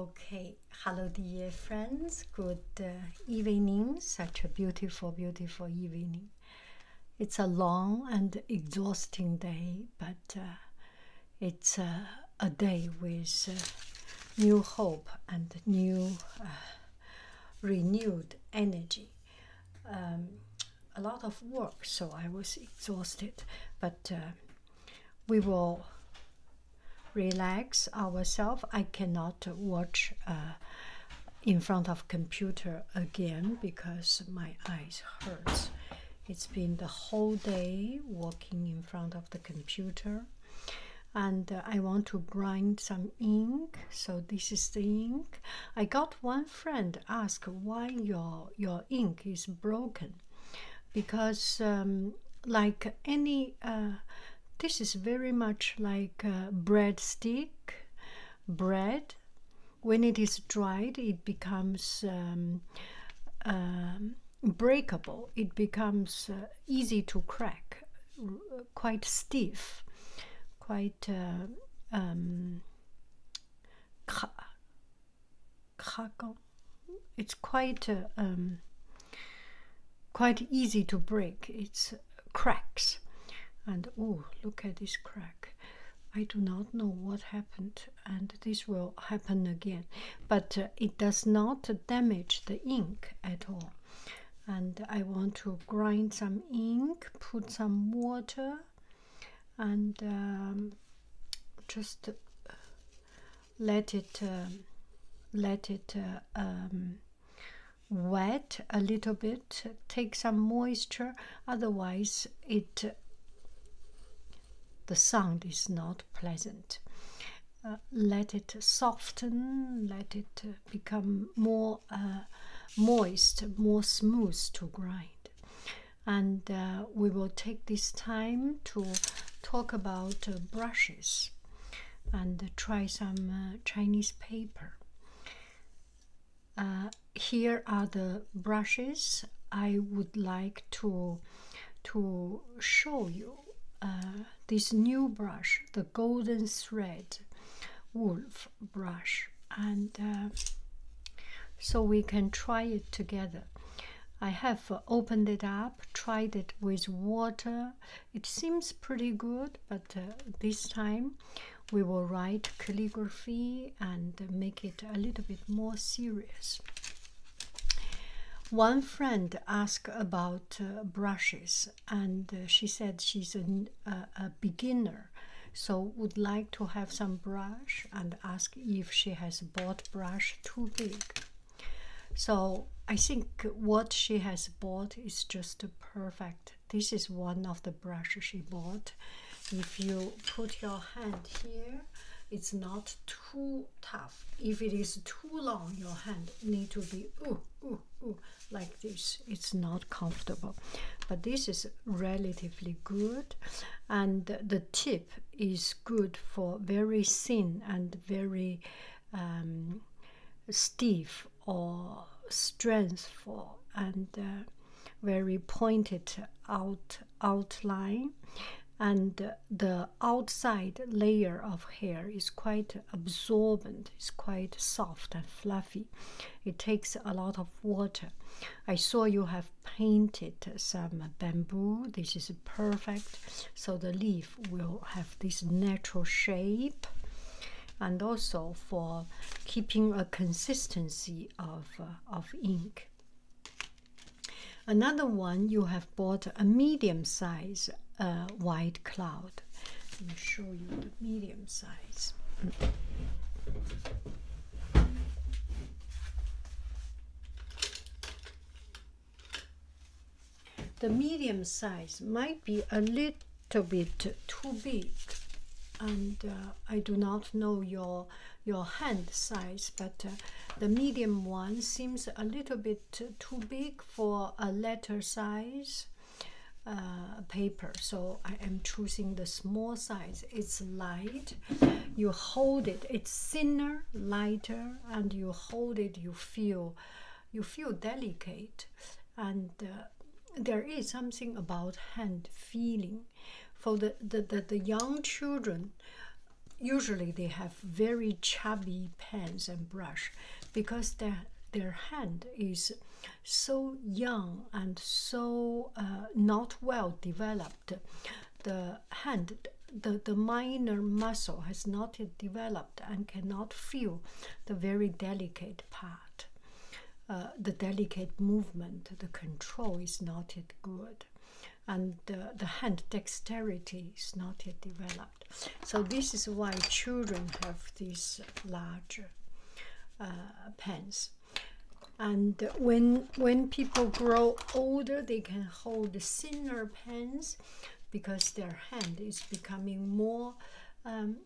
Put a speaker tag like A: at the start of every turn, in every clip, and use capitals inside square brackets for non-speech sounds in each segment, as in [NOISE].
A: Okay, hello dear friends, good uh, evening, such a beautiful, beautiful evening. It's a long and exhausting day, but uh, it's uh, a day with new hope and new renewed energy. Um, a lot of work, so I was exhausted, but we will relax ourselves. I cannot watch uh, in front of computer again because my eyes hurts. It's been the whole day working in front of the computer, and uh, I want to grind some ink. So this is the ink. I got one friend ask why your your ink is broken because um, like any uh, this is very much like uh, breadstick bread when it is dried it becomes um, um, breakable it becomes uh, easy to crack quite stiff quite uh, crackle. It's quite uh, um, quite easy to break. It's cracks, and oh, look at this crack. I do not know what happened, and this will happen again. But uh, it does not damage the ink at all. And I want to grind some ink, put some water, and um, just uh, let it um, let it uh, um, wet a little bit take some moisture otherwise it the sound is not pleasant uh, let it soften let it uh, become more moist more smooth to grind and uh, we will take this time to talk about uh, brushes and try some uh, Chinese paper. here are the brushes I would like to to show you. this new brush, the golden thread wolf brush, and so we can try it together. I have opened it up, tried it with water. It seems pretty good, but uh, this time we will write calligraphy and make it a little bit more serious. One friend asked about uh, brushes, and uh, she said she's a beginner, so would like to have some brush and ask if she has bought brush too big. So I think what she has bought is just perfect. This is one of the brushes she bought. If you put your hand here, it's not too tough. If it is too long, your hand need to be like this. It's not comfortable. But this is relatively good. And the tip is good for very thin and very um, stiff or strengthful and uh, very pointed out outline and the outside layer of hair is quite absorbent it's quite soft and fluffy it takes a lot of water i saw you have painted some bamboo. This is perfect. So the leaf will have this natural shape and also for keeping a consistency of, uh, of ink. Another one, you have bought a medium size uh, white cloud. Let me show you the medium size. The medium size might be a little bit too big, and uh, I do not know your your hand size, but uh, the medium one seems a little bit too big for a letter size uh, paper. So I am choosing the small size. It's light. You hold it. It's thinner, lighter, and you hold it you feel you feel delicate and uh, there is something about hand feeling for the, the, the, young children usually they have very chubby pens and brush because their, their hand is so young and so uh, not well developed the hand the, the minor muscle has not yet developed and cannot feel the very delicate part uh, the delicate movement the control is not yet good and uh, the hand dexterity is not yet developed so this is why children have these larger uh, pens and when when people grow older they can can hold thinner pens because their hand is becoming more um,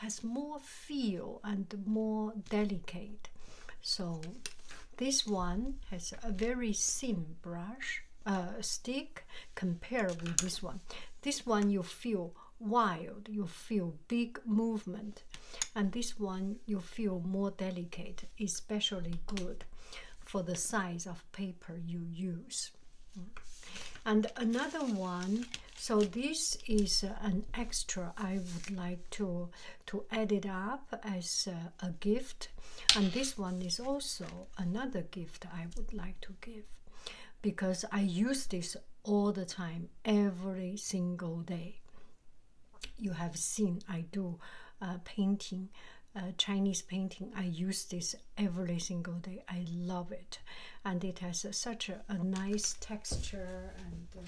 A: has more feel and more delicate so this one has a very thin brush uh, stick compared with this one this one you feel wild you feel big movement and this one you feel more delicate especially good for the size of paper you use. And another one, so this is uh, an extra I would like to to add it up as uh, a, gift. And this one is also another gift I would like to give because I use this all the time, every single day. You have seen I do uh, painting a uh, Chinese painting. I use this every single day. I love it, and it has such a, nice texture and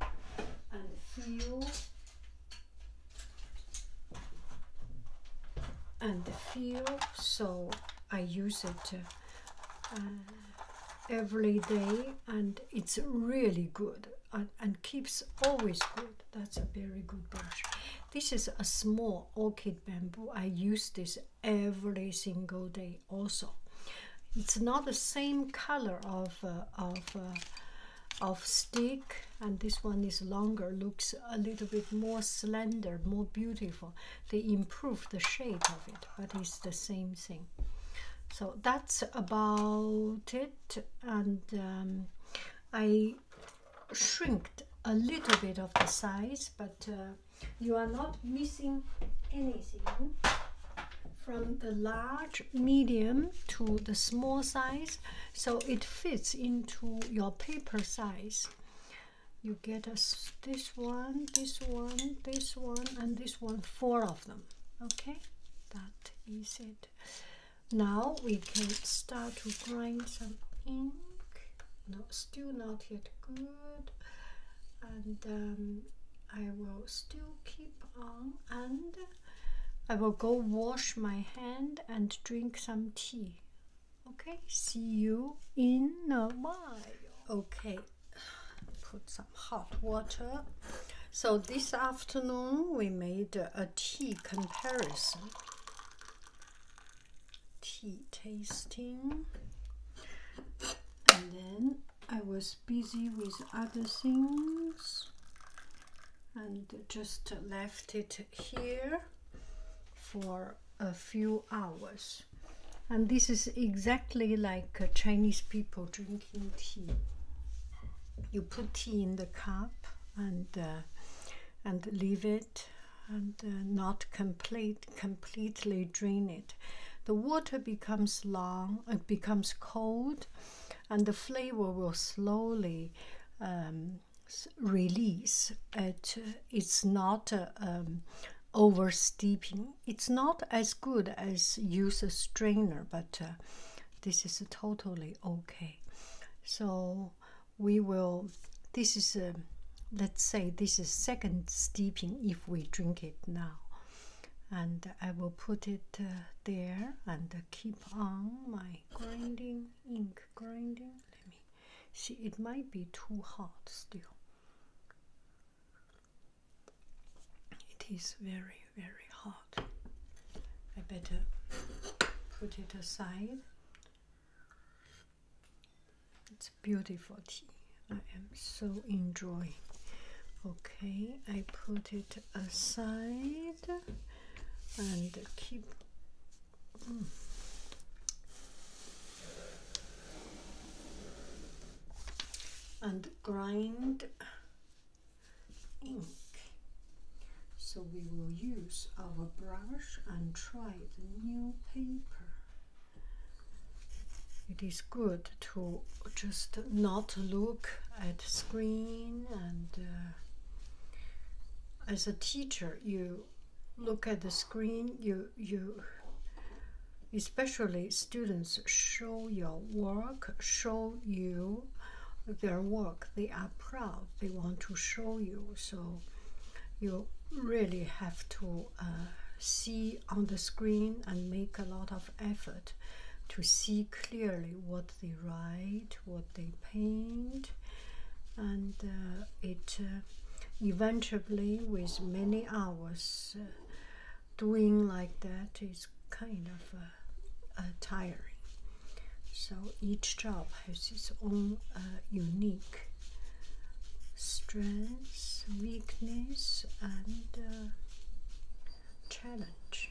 A: uh, and feel. And the feel, so I use it uh, every day, and it's really good and keeps always good. That's a very good brush. This is a small orchid bamboo. I use this every single day also. It's not the same color of uh, of uh, of stick and this one is longer looks a little bit more slender more beautiful they improve the shape of it but it's the same thing so that's about it and um, I Shrunk a little bit of the size but uh, you are not missing anything from the large medium to the small size so it fits into your paper size you get us this one this one this one and this one four of them okay that is it now we can start to grind some ink. No, still not yet good. And um, I will still keep on and I will go wash my hand and drink some tea. Okay, see you in a while. Okay, put some hot water. So this afternoon we made a tea comparison tea tasting and then I was busy with other things and just left it here for a few hours and this is exactly like uh, Chinese people drinking tea you put tea in the cup and uh, and leave it and uh, not complete completely drain it. The water becomes long, it becomes cold, and the flavor will slowly um, release. It, it's not uh, um, over steeping. It's not as good as use a strainer, but uh, this is totally okay. So we will, this is, let's say this is second steeping if we drink it now. And I will put it uh, there and keep on my grinding, ink grinding. Let me see, it might be too hot still. It is very, very hot. I better put it aside. It's beautiful tea. I am so enjoying. Okay, I put it aside and keep. Hmm. and grind ink. So we will use our brush and try the new paper. It is good to just not look at screen and uh, as a teacher you look at the screen you you especially students show your work show you their work they proud they want to show you so you really have to uh, see on the screen and make a lot of effort to see clearly what they write what they paint and uh, it uh, eventually with many hours doing like that is kind of tiring. So each job has its own uh, unique strengths, weaknesses, and uh, challenge.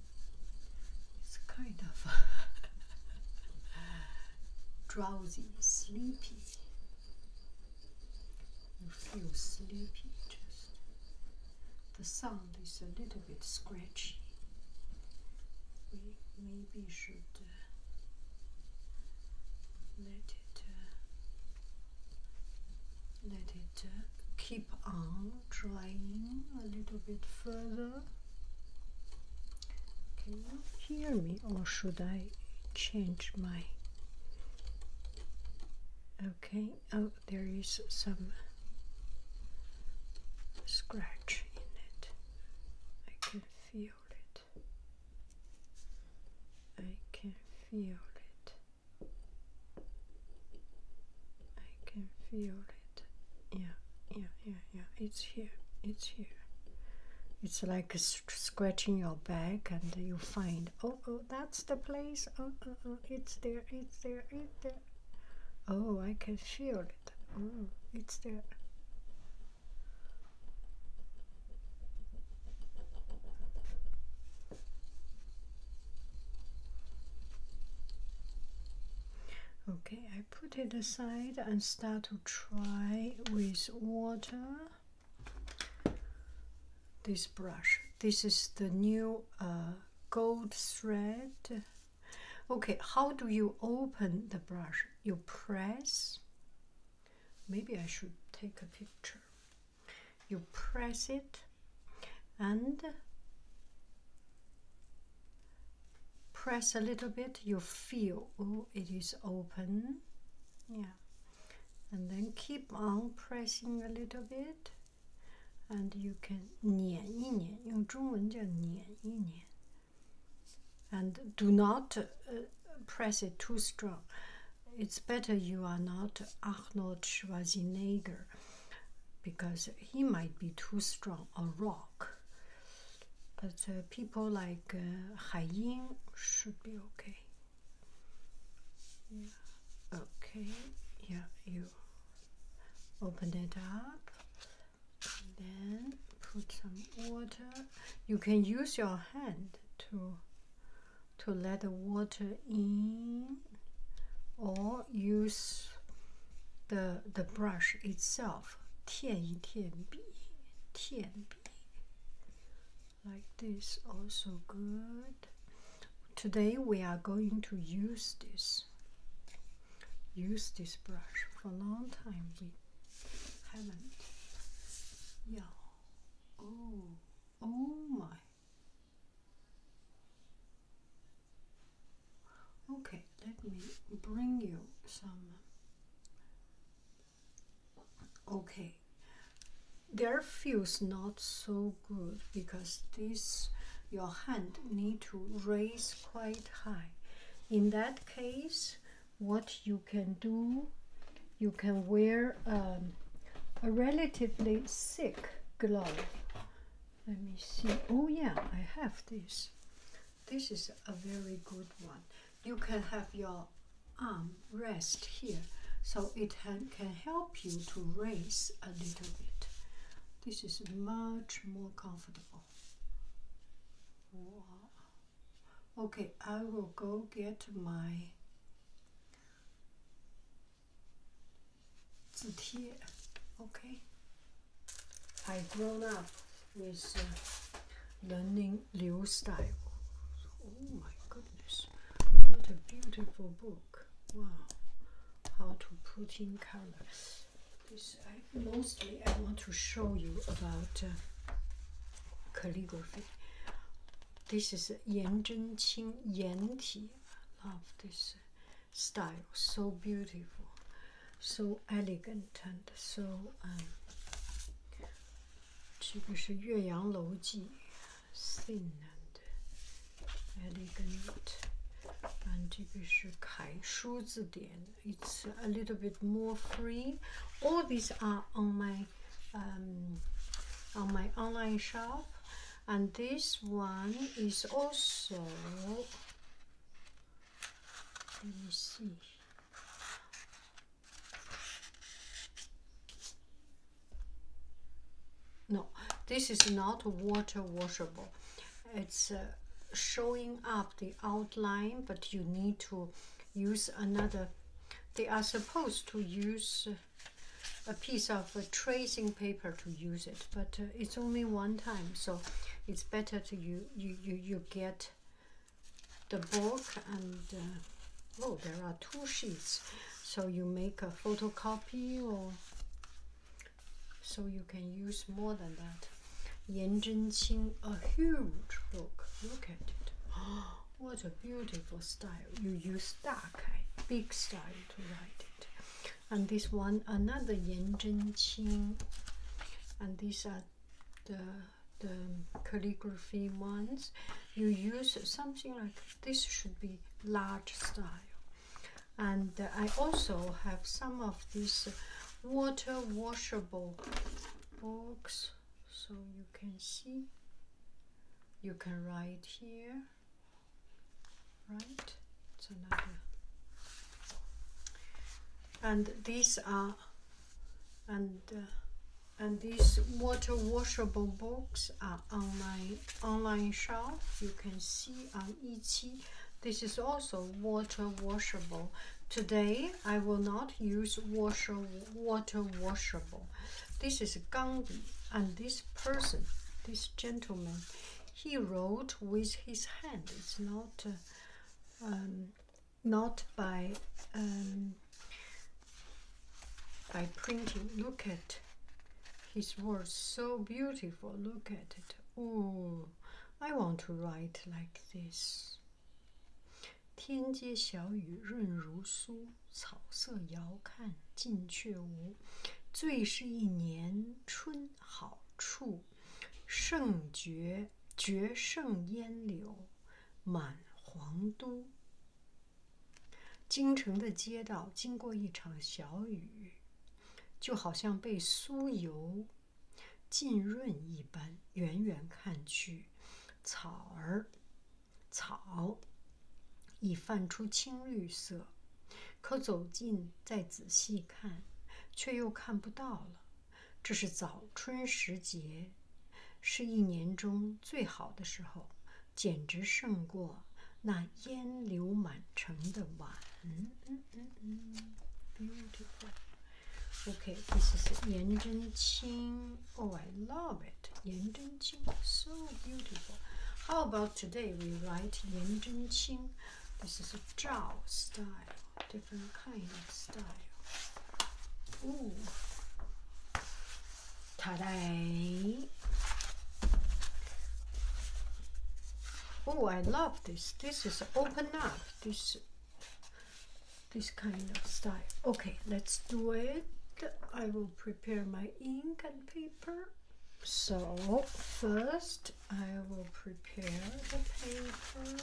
A: It's kind of [LAUGHS] drowsy, sleepy. You feel sleepy, just the sound is a little bit scratchy. We maybe should uh, let it uh, let it uh, keep on Trying a little bit further. Can you hear me or should I change my okay oh there is some scratch in it I can feel it I can feel it I can feel it. Yeah, yeah, yeah, yeah. It's here. It's here. It's like scratching your back, and you find, oh, oh, that's the place. Oh, oh, oh, it's there. It's there. It's there. Oh, I can feel it. Oh, it's there. Okay, put it aside and start to try with water this brush. This is the new uh, gold thread. Okay, how do you open the brush? You press. Maybe I should take a picture. You press it and press a little bit you feel oh it is open yeah and then keep on pressing a little bit and you can 捻一捻用中文叫捻一捻 and do not uh, press it too strong it's better you are not Arnold Schwarzenegger because he might be too strong or raw but uh, people like uh, should be okay. Yeah. Okay. Yeah, you open it up. Then put some water. You can use your hand to to let the water in, or use the the brush itself 舔一舔 b 舔 b like this also good today we are going to use this use this brush for a long time we haven't yeah oh oh my Okay, let me bring you some. Okay, there feels not so good because this your hand need to raise quite high. In that case, what you can do, you can wear um, a relatively thick glove. Let me see. Oh yeah, I have this. This is a very good one. You can have your arm rest here, so it can help you to raise a little bit. This is much more comfortable. Okay, I will go get my here. Okay. I've grown up with uh, learning new style. Oh my goodness, what a beautiful book! Wow, how to put in colors? This I, mostly I want to show you about uh, calligraphy. This is Yan Zhenqing Yan Ti. I love this uh, style so beautiful so elegant and so um 这个是岳阳楼记 thin and elegant and 这个是楷书字典 it's a little bit more free all these are on my um, on my online shop and this one is also let me see. No, this is not water washable. It's uh, showing up the outline, but you need to use another. They are supposed to use uh, a piece of uh, tracing paper to use it, but it's only one time so it's better to you you you, you get the book and uh, oh there are two sheets so you make a photocopy or so you can use more than that yan zhenqing a huge book look at it oh, [GASPS] what a beautiful style you use dark big style to write it and this one another Yan Zhen Qing and these are the the calligraphy ones you use something like this should be large style and I also have some of these water washable books so you can see you can write here right and these are and uh, and these water washable books are on my online shop you can see on um, Etsy this is also water washable today I will not use washer water washable this is Gandhi and this person this gentleman he wrote with his hand it's not uh, um, not by um, by printing. Look at his words, so beautiful. Look at it. Oh, I want to write like this. Yao Kan Shi Chun Hao Chu. 胜绝绝胜烟柳满皇都。京城的街道经过一场小雨，就好像被酥油浸润一般。远远看去，草儿草已泛出青绿色，可走近再仔细。看，却又看不到了。这是早春时节，是一年中最好的时候，简直胜过那烟柳满城的晚。嗯嗯嗯 Beautiful. Okay, this is Yan Zhenqing. Oh, I love it. Yan Zhenqing, so beautiful. How about today? We write Yan Zhenqing. This is a Zhao style, different kind of style. Ooh. Today. Oh, I love this. This is open up. This this kind of style. Okay, let's do it. I will prepare my ink and paper. So first I will prepare the paper.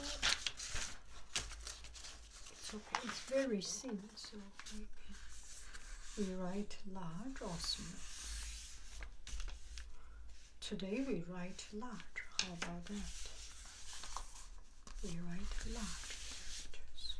A: So it's very thin, so we we write large or small. Today we write large. How about that? We write large characters.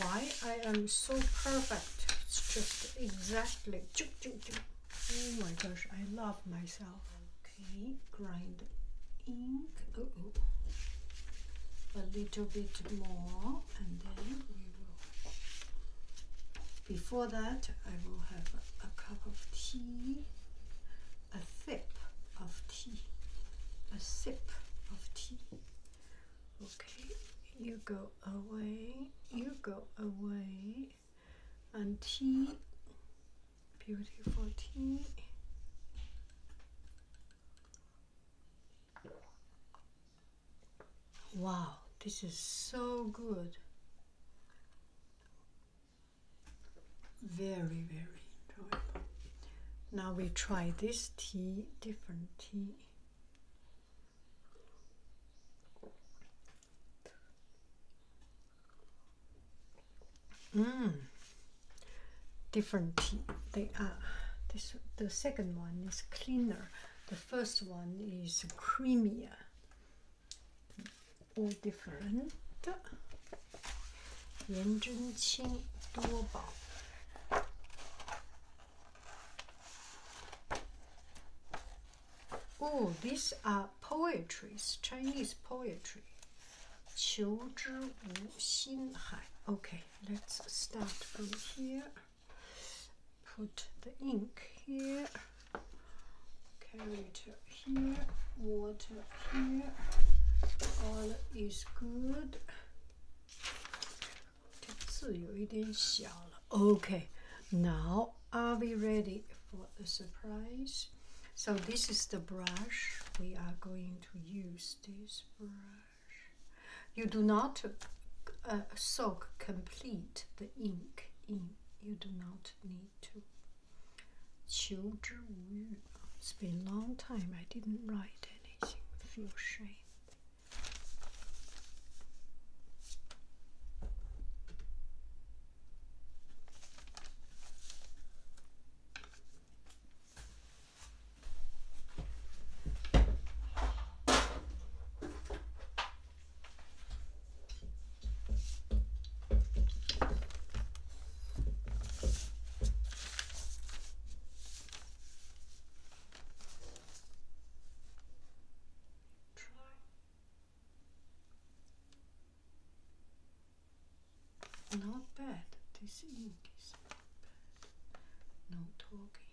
A: Why I am so perfect? It's just exactly. Oh my gosh, I love myself. Okay, grind ink. a little bit more, and then. Before that, I will have a, a cup of tea, a sip of tea, a sip of tea. Okay, you go away, you go away, and tea, beautiful tea. Wow, this is so good. Very, very enjoyable. Now we try this tea, different tea. Mmm, different tea. They are, this, the second one is cleaner. The first one is Crimea, all different. Yan Zhenqing Duobao. Oh, these are poetries, Chinese poetry. Hai. Okay, let's start from here put the ink here, carry it here, water here, all is good. Okay, now are we ready for the surprise? So this is the brush. We are going to use this brush. You do not uh, soak complete the ink in. You do not need to. 求之无欲. It's been a long time I didn't write anything. Feel shame. Not bad. This ink is not talking.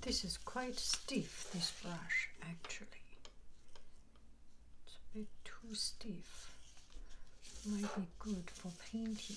A: This is quite stiff, this brush, actually. It's a bit too stiff. Might be good for painting.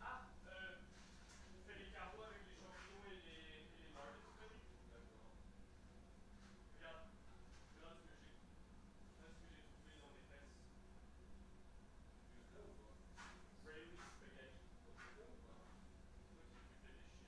A: Ah Tu fais des carreaux avec les champions et les barres Regarde, j'ai ce que j'ai trouvé dans les fesses.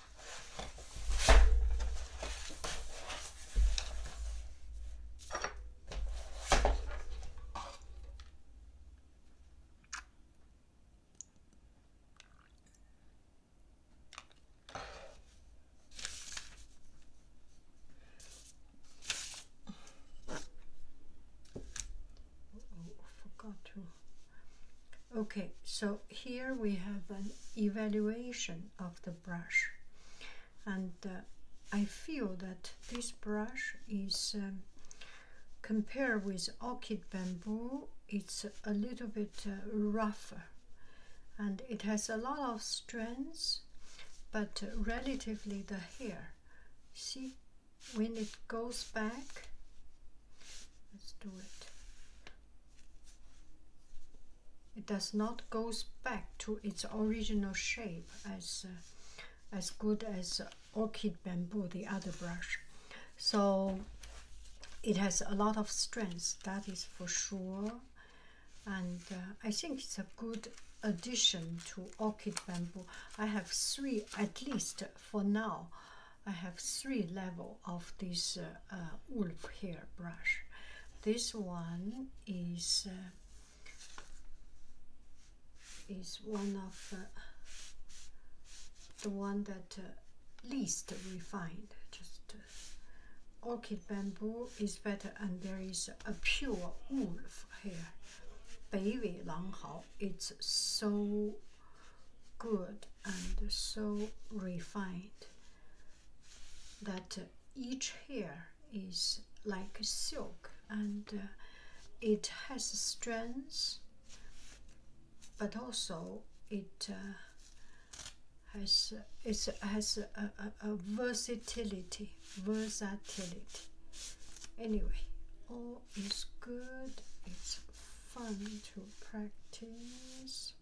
A: Oh, forgot to Okay, so here we have an evaluation of the brush, and uh, I feel that this brush is um, compared with orchid bamboo, it's a little bit uh, rougher and it has a lot of strands, but relatively the hair. See, when it goes back, let's do it. It does not goes back to its original shape as uh, as good as orchid bamboo, the other brush. So it has a lot of strength, that is for sure. And uh, I think it's a good addition to orchid bamboo. I have three at least for now I have three level of this uh, uh wolf hair brush. This one is uh, is one of uh, the one that uh, least refined. Just orchid bamboo is better, and there is a pure wolf hair. It's so good and so refined that each hair is like silk and uh, it has strands but also it uh, has it has a versatility versatility anyway all is good it's fun to practice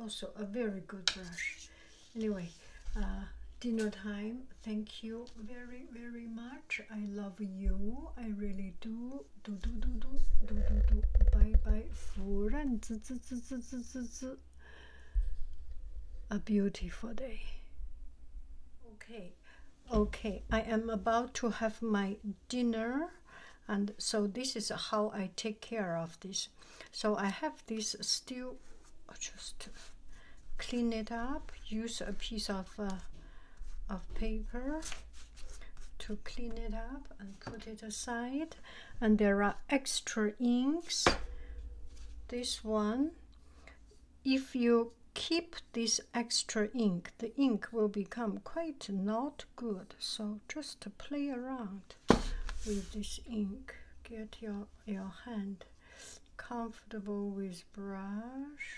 A: also a very good brush anyway uh, dinner time thank you very very much i love you i really do do do do do do do do bye bye furan a beautiful day okay okay i am about to have my dinner and so this is how I take care of this. So I have this still oh, just clean it up, use a piece of uh, of paper to clean it up and put it aside. And there are extra inks. This one, if you keep this extra ink, the ink will become quite not good so just play around with this ink get your your hand comfortable with brush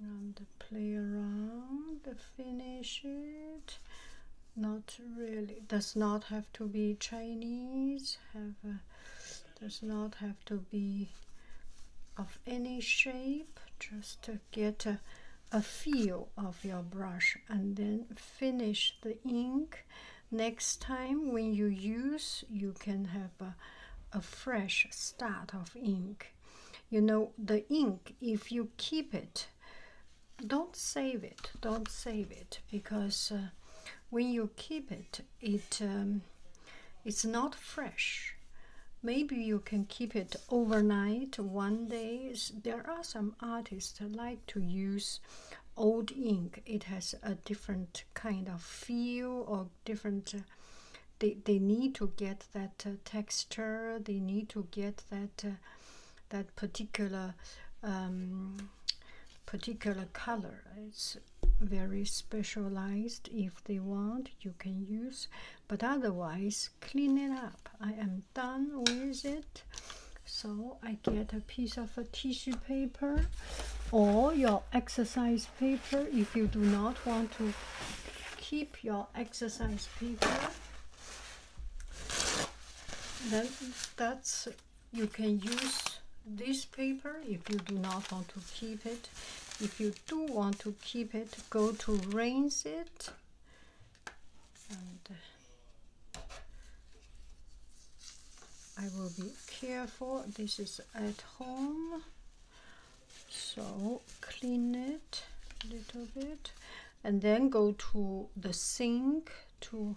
A: and play around finish it not really does not have to be chinese have does not have to be of any shape just to get a a feel of your brush and then finish the ink next time when you use you can have a, a fresh start of ink you know the ink if you keep it don't save it don't save it because uh, when you keep it it um, it's not fresh Maybe you can keep it overnight, one day. There are some artists that like to use old ink. It has a different kind of feel or different. Uh, they, they need to get that uh, texture. They need to get that uh, that particular um, particular color. It's very specialized. If they want, you can use. But otherwise, clean it up. I am done with it. So I get a piece of a tissue paper or your exercise paper if you do not want to keep your exercise paper. Then that's you can use this paper if you do not want to keep it. If you do want to keep it, go to rinse it and uh, I will be careful this is at home so clean it a little bit and then go to the sink to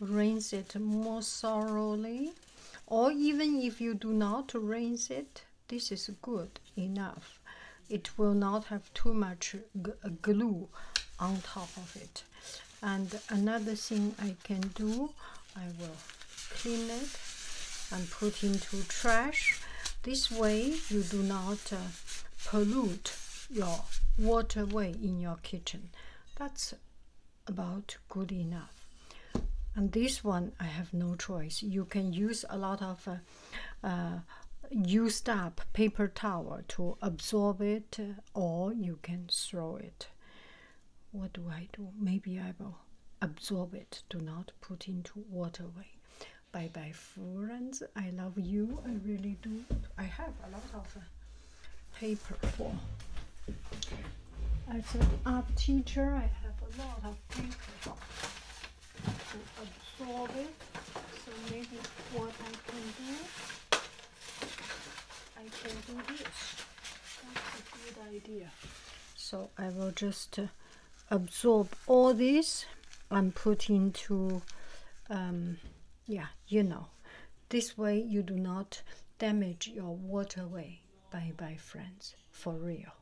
A: rinse it more thoroughly or even if you do not rinse it this is good enough. It will not have too much glue on top of it. And another thing I can do, I will clean it and put into trash. This way you do not uh, pollute your waterway in your kitchen. That's about good enough. And this one, I have no choice. You can use a lot of uh, uh, uh, used up paper towel to absorb it or you can throw it what do i do maybe i will absorb it do not put into waterway bye bye friends i love you i really do i have a lot of uh, paper for as an art teacher i have a lot of paper so I will just uh, absorb all this and put into, um, yeah, you know. This way you do not damage your waterway. Bye bye friends, for real.